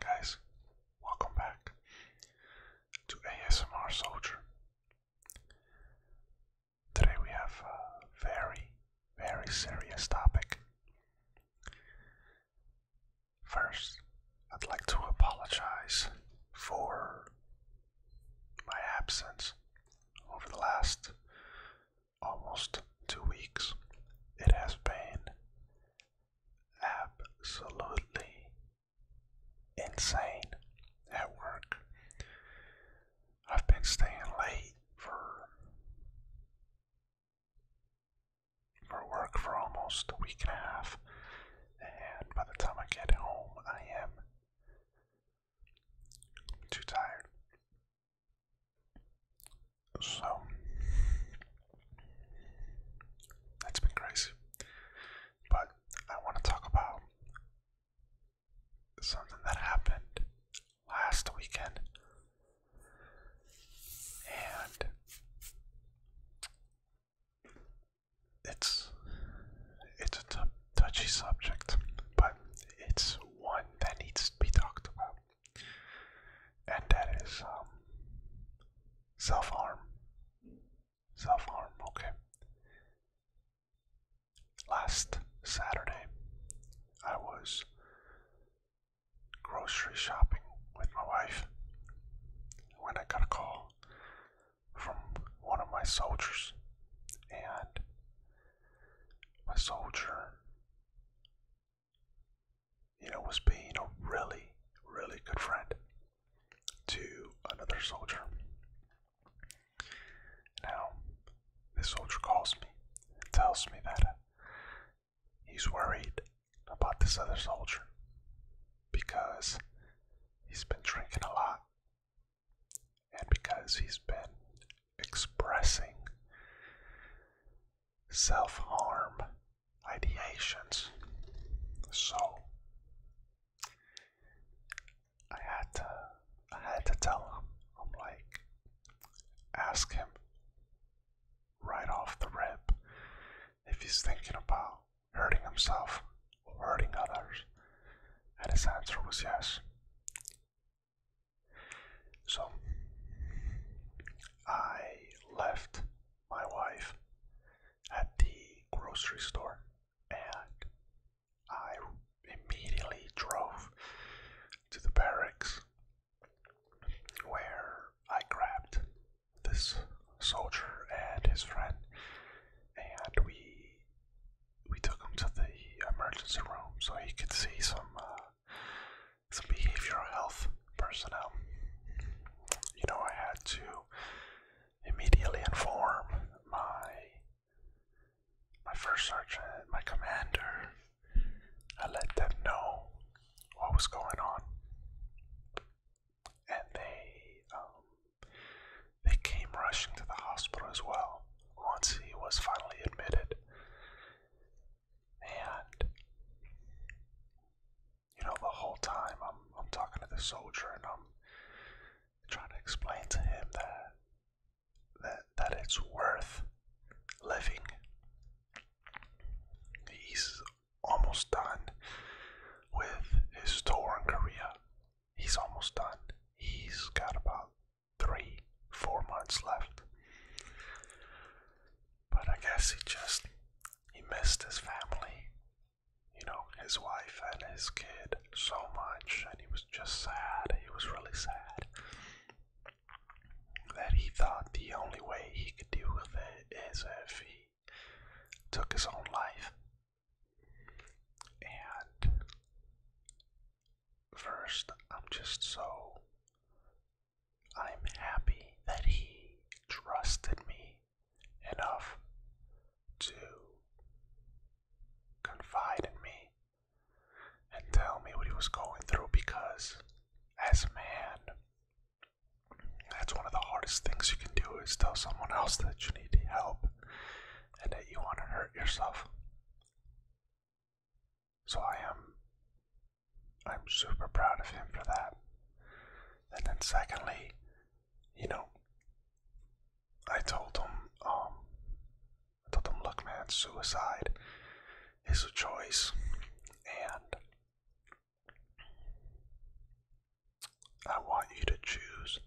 Guys, welcome back to ASMR Soldier. Today we have a very, very serious topic. First, I'd like to apologize for my absence over the last almost two weeks. It has been absolutely insane at work. I've been staying late for for work for almost a week and a half, and by the time I get home, I am too tired. So that's been crazy. But I want to talk about something that happened last weekend. And it's it's a touchy subject, but it's one that needs to be talked about and that is um, self harm. Self harm, okay. Last Saturday, I was grocery shopping with my wife when I got a call from one of my soldiers, and my soldier you know, was being a really, really good friend to another soldier. Now, this soldier calls me and tells me that he's worried about this other soldier because he's been drinking a lot and because he's been expressing self harm ideations. So I had to I had to tell him. I'm like ask him right off the rip if he's thinking about hurting himself or hurting others. And his answer was yes. So I left my wife at the grocery store and I immediately drove to the barracks where I grabbed this soldier and his friend and we we took him to the emergency room so he could see some uh, some behavioral health personnel. You know, I had to immediately inform my my first sergeant, my commander. I let them know what was going on, and they um, they came rushing to the hospital as well once he was finally admitted. And you know, the whole time I'm I'm talking to the soldier and I'm trying to explain to him that that that it's worth living. He's almost done with his tour in Korea. He's almost done. He's got about three, four months left. But I guess he just he missed his family, you know, his wife and his kid so much, and he was just sad. He was really sad that he thought the only way he could deal with it is if he took his own life. And first, I'm just so. I'm happy that he trusted me enough to confide in me and tell me what he was going through because, as a man, that's one of the hardest things you can do is tell someone else that you need help and that you want to hurt yourself. So I am I'm super proud of him for that. And then secondly, you know, I told him, um, I told him, look man, suicide is a choice and I want you to choose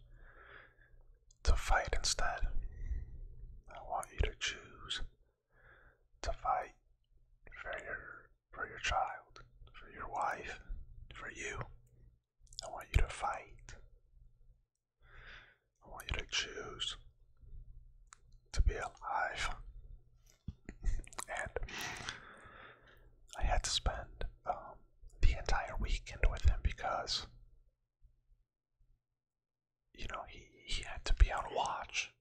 to fight instead. I want you to choose to fight for your for your child, for your wife, for you. I want you to fight. I want you to choose to be alive. and I had to spend um, the entire weekend with him because you know, he, he had to be on watch.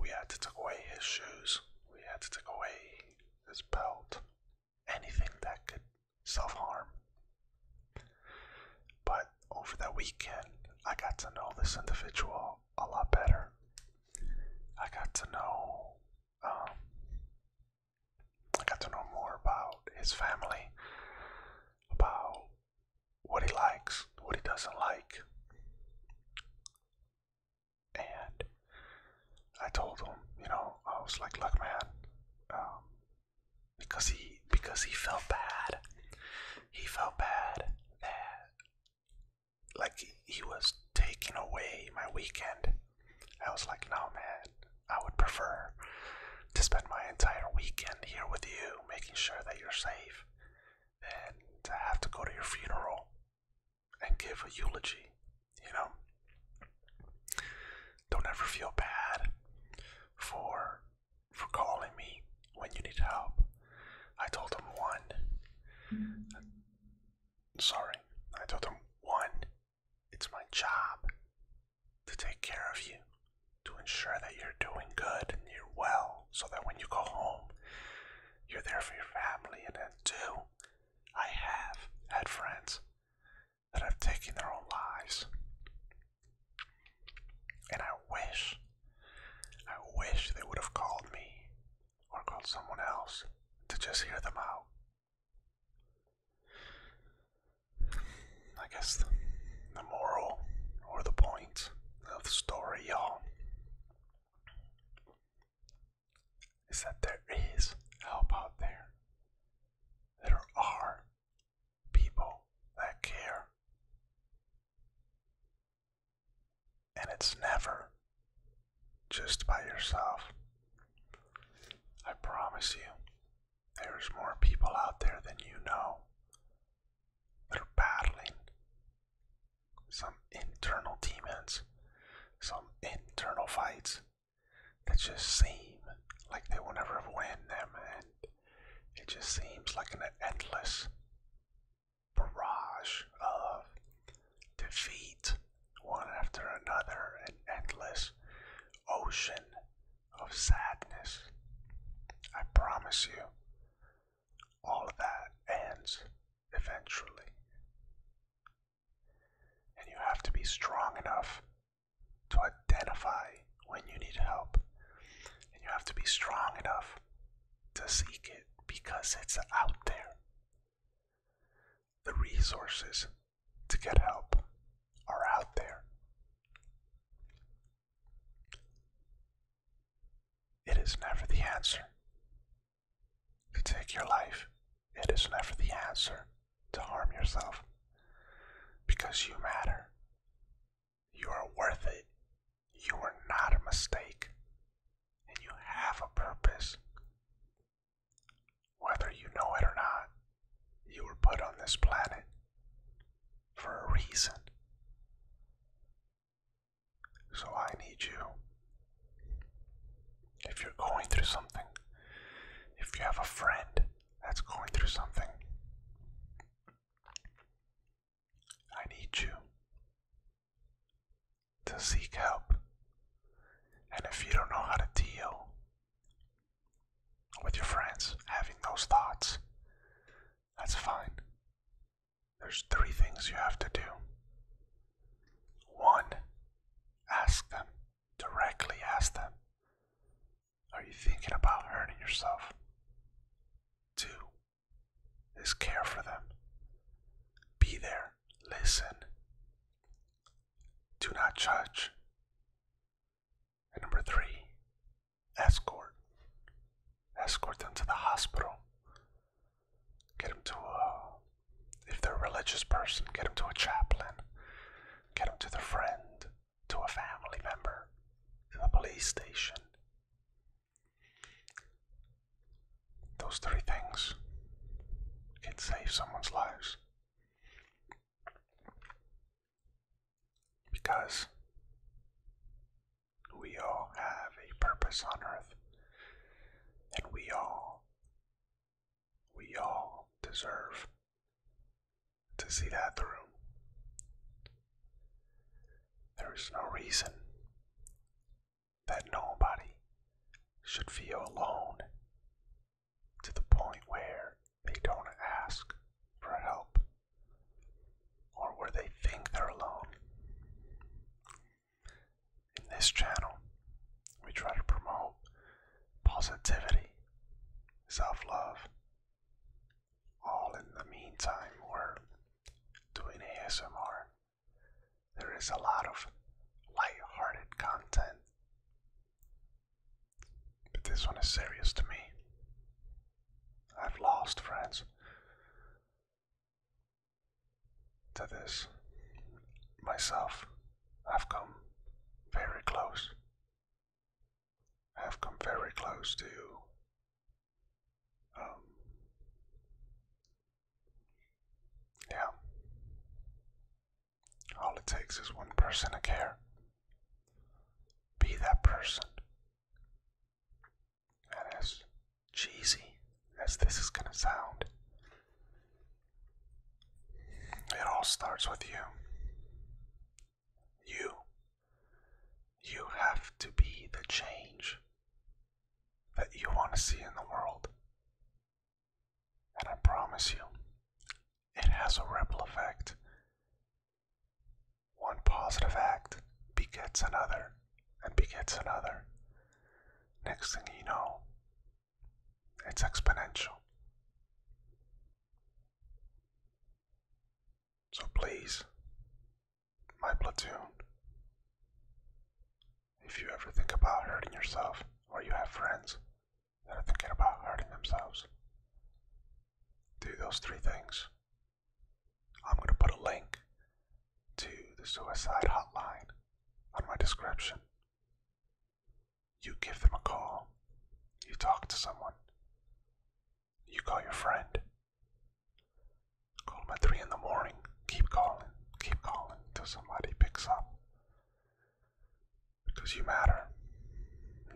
We had to take away his shoes, we had to take away his belt, anything that could self harm. But over that weekend, I got to know this individual a lot better. I got to know um, I got to know more about his family, about what he likes, what he doesn't like. And I told him, you know, I was like, look, man, um, because he because he felt bad. He felt bad that like he was taking away my weekend I was like, no, man, I would prefer to spend my entire weekend here with you, making sure that you're safe, than to have to go to your funeral and give a eulogy, you know? Don't ever feel bad for for calling me when you need help. I told him one. Sorry, I told him one it's my job to take care of you, to ensure that you're doing good and you're well, so that when you go home, you're there for your family. And then, too, I have had friends that have taken their own lives. And I wish, I wish they would have called me or called someone else to just hear them out I guess the, moral or the point of the story, y'all, is that there is help out there. There are people that care. And it's never just by yourself. I promise you, there's more people out there than you know. They're battling some internal demons, some internal fights that just seem like they will never win them, and it just seems like an endless barrage of defeat one after another, an endless ocean of sadness. I promise you, all of that ends eventually. And you have to be strong enough to identify when you need help. And you have to be strong enough to seek it because it's out there. The resources to get help are out there. It is never the answer to take your life. It is never the answer to harm yourself because you matter. You are worth it. You are not a mistake. And you have a purpose. Whether you know it or not, you were put on this planet for a reason. So I need you. If you're going through something, if you have a friend that's going through something, I need you to seek help and if you don't know how to deal with your friends having those thoughts, that's fine. There's three things you have to do. One, ask them, directly ask them, Are you thinking about hurting yourself? Two, is care for them. Be there, listen, do not judge. number three, escort. Escort them to the hospital. Get them to a, if they're a religious person, get them to a chaplain. Get them to their friend, to a family member, to the police station those three things, can save someone's lives. Because we all have a purpose on earth, and we all, we all deserve to see that through. There is no reason that nobody should feel alone to the point where they don't ask for help or where they think they're alone. In this channel, we try to promote positivity, self love, all in the meantime, we're doing ASMR there is a lot of light-hearted content, but this one is serious to me. I've lost friends to this. Myself, I've come very close. I've come very close to you. Um, yeah. All it takes is one person to care. Be that person. And as cheesy as this is going to sound, it all starts with you. You. You have to be the change that you want to see in the world. And I promise you, it has a ripple effect. One positive act begets another and begets another. Next thing you know, it's exponential. So please, my platoon, if you ever think about hurting yourself, or you have friends that are thinking about hurting themselves, do those three things. I'm going to put a link to the suicide hotline on my description. You give them a call, you talk to someone, you call your friend, Call him at 3 in the morning. Keep calling, keep calling until somebody picks up. Because you matter.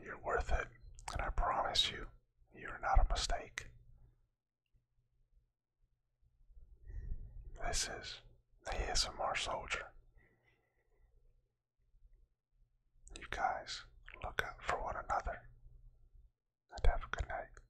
You're worth it. And I promise you, you're not a mistake. This is the ASMR Soldier. You guys look out for one another and have a good night.